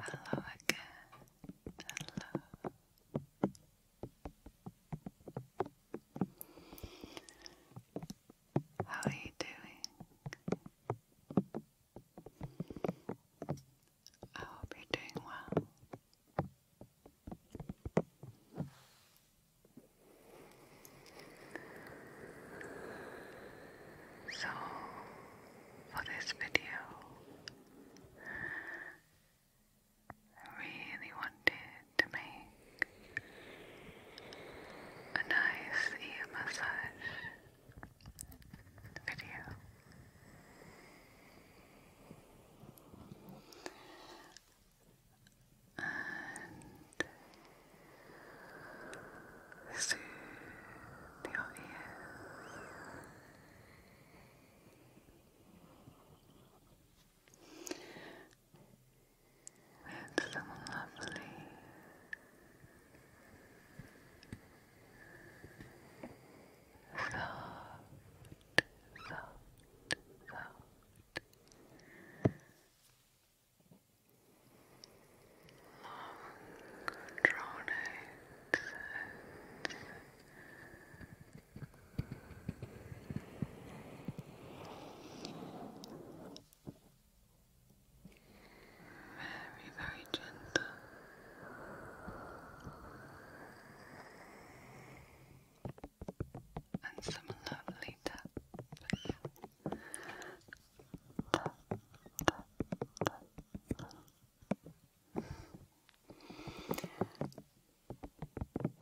Hello again. Hello. How are you doing? I hope you're doing well. So, for this video, I really wanted to make a nice ear massage video and soothe your ears with some lovely soft, soft, soft Long drawn very, very gentle and some lovely taps.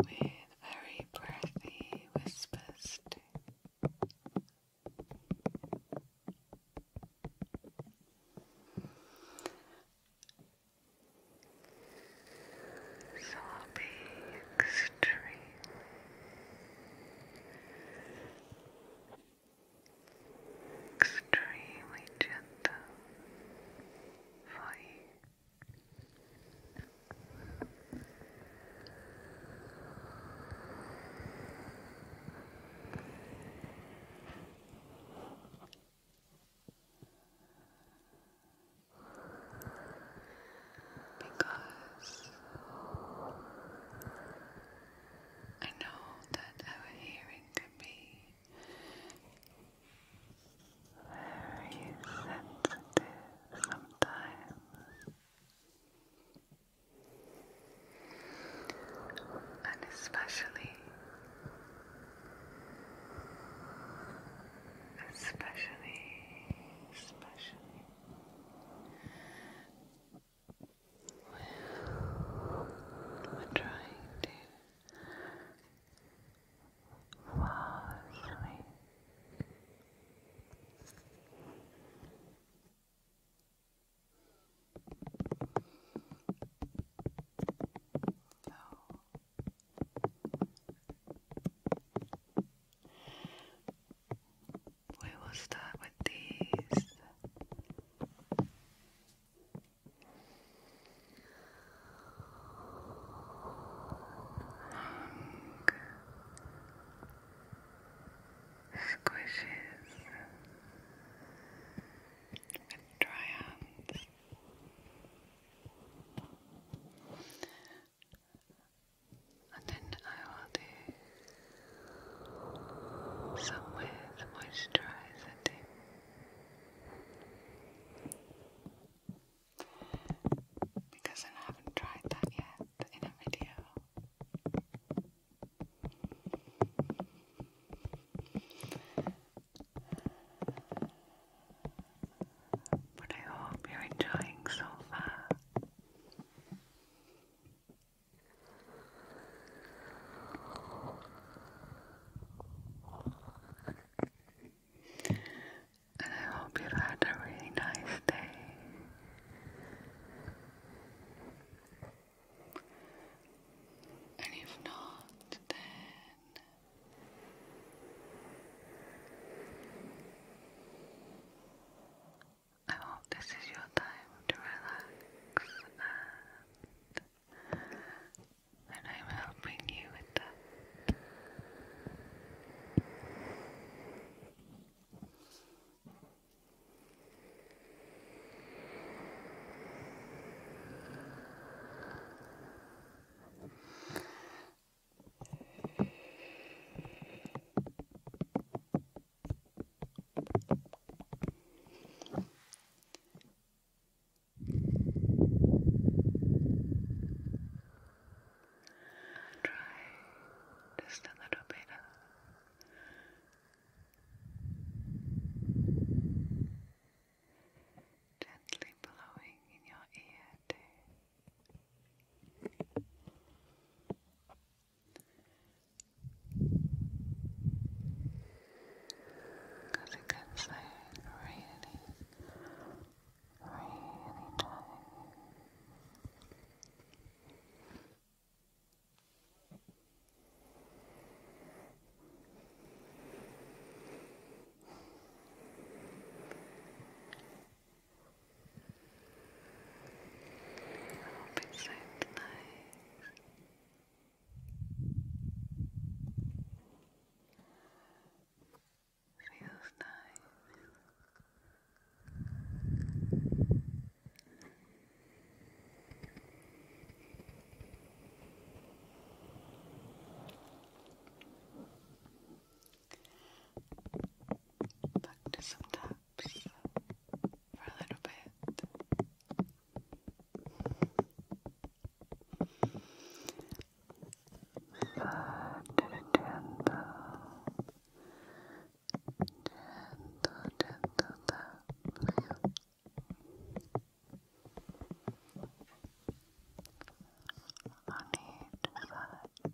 With very breathy whispers too. So I'll be extremely extremely gentle for you because I know that our hearing can be very sensitive sometimes, and especially especially, especially we're trying to fall asleep. So, we will start with these. squishes with dry hands and then I will do some with moisturizer too. Because I haven't tried that yet in a video. But I hope you're enjoying so far. And I hope you've had a really nice day. And if not, then I hope this is your time to relax and, I'm helping you with that. Try just a little bit of gently blowing in your ear because it gets like really, really tight hope it sounds nice. Feels nice. Back to some taps for a little bit. Side to the gentle, gentle, gentle tap on each side. Some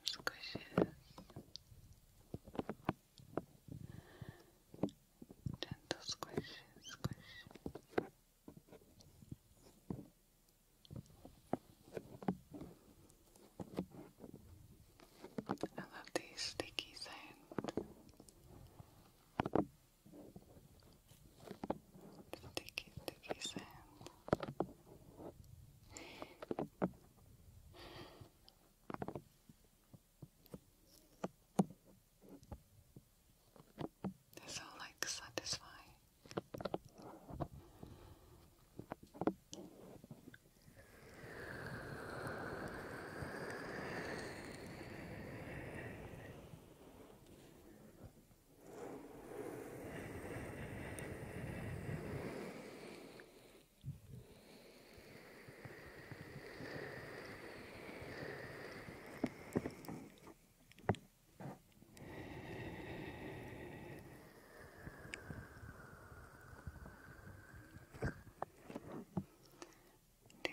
squishes gentle squishes, squish I love the sticky sand. Sticky, sticky sand. They're so like satisfying. Do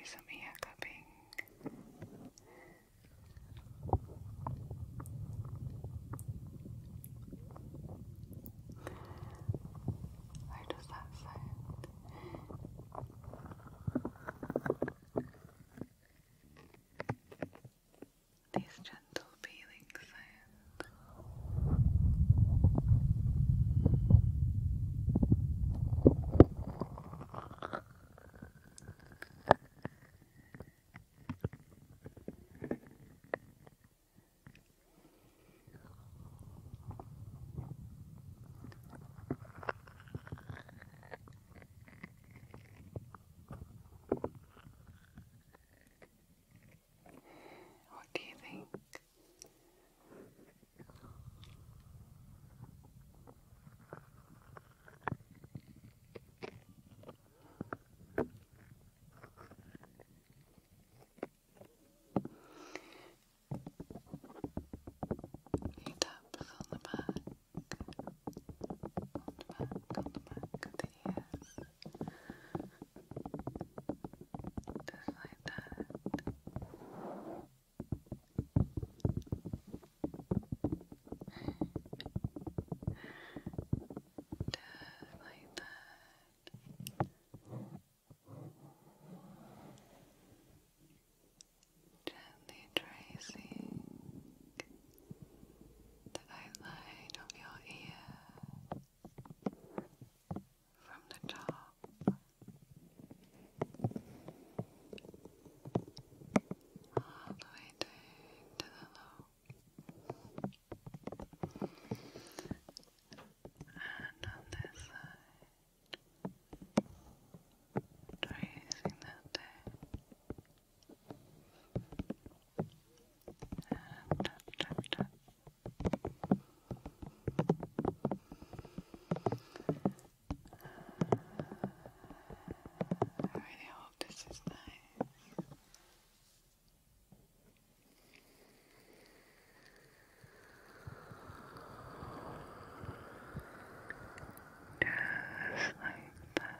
some ear cupping. Where does that sound? these gentle feelings. What do you think? A few taps the back on the on the back Just like that. Just like that. Gently tracing the outline of your ear from the top. All the way down to the lobe. And on this side, tracing that down and tap, I really hope this is nice. Just like that.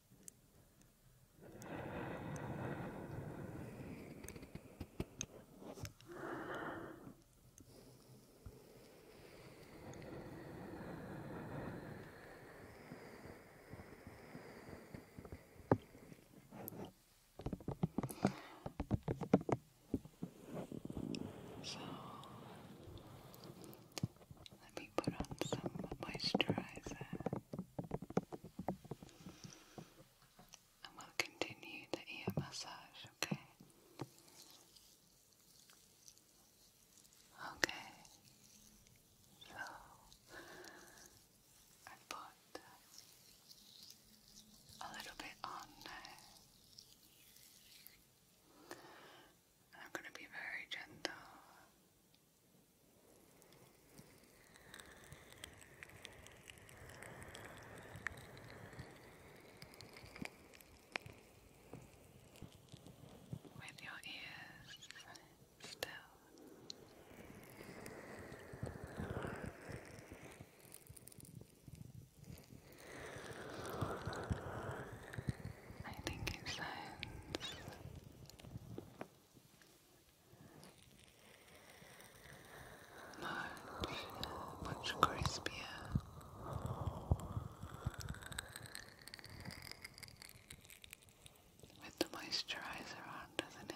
So let put on some moisturizer and we'll continue the ear massage, okay? Okay, so I put a little bit on I'm going to be very gentle with your ears still. I think it sounds much, crispier. With the moisturizer on, doesn't it?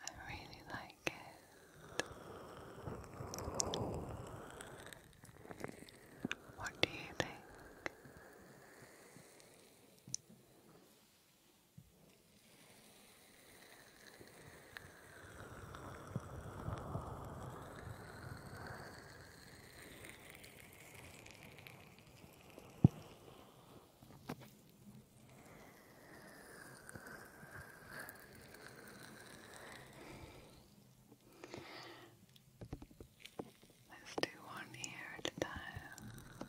I really like it. What do you think? Let's do one ear at a time.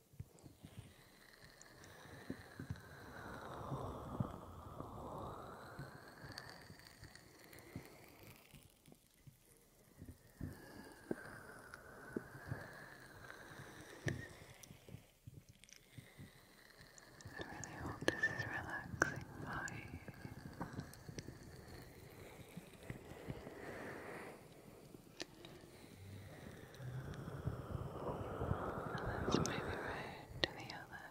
I really hope this is relaxing for you. Let's move right to the other.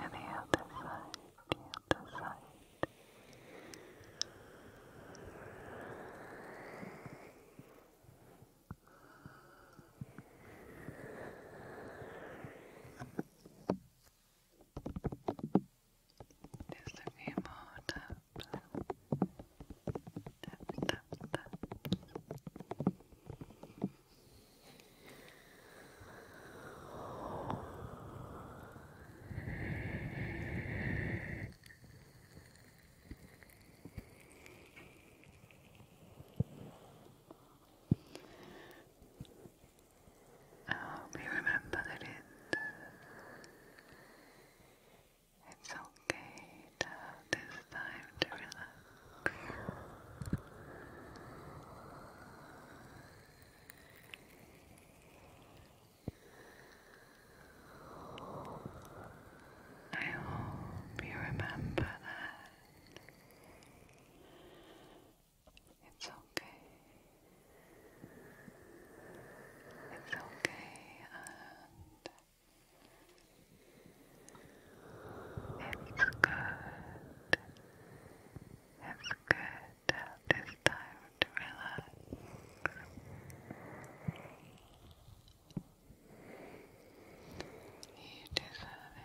To the other side, the other side. Just a more taps. Taps, taps, taps. I hope you remember that uh, it's okay to have this time to relax. I hope you remember that it's okay. It's okay, and it's good. It's good at this time to relax. You deserve it.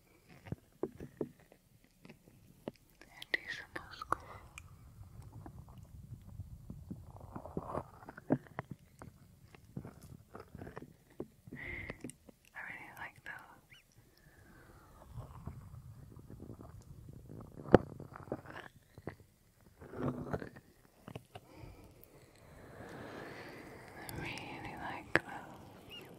And he's I really like those. I really like those.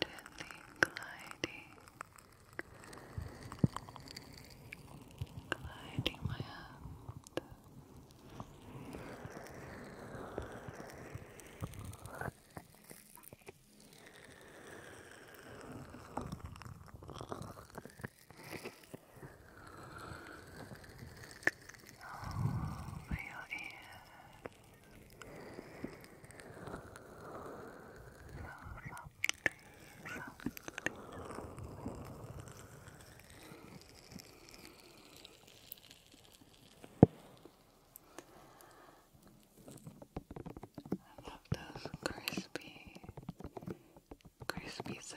gently gliding, gliding my hand. Over your ear, I love those crispy, crispy sounds.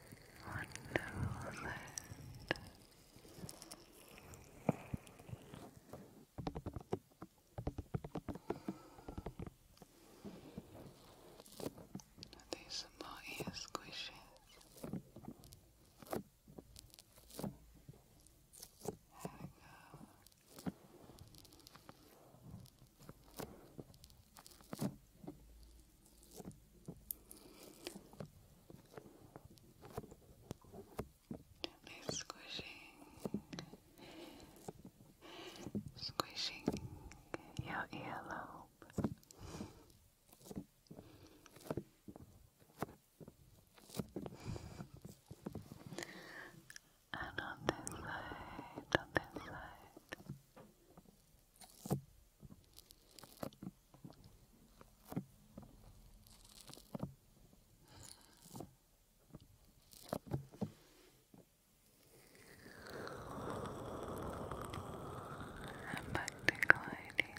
Wonderful these are more squishes. There we go. Gently squishing, squishing your earlobe. And on this side, on this side. I'm back to gliding.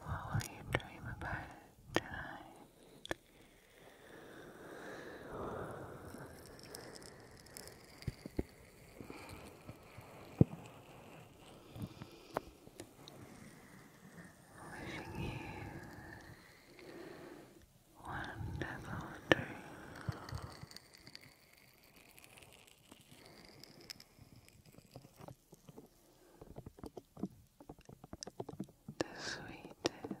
What will you dream about tonight? Wishing you wonderful dreams. The sweetest, sweetest dreams.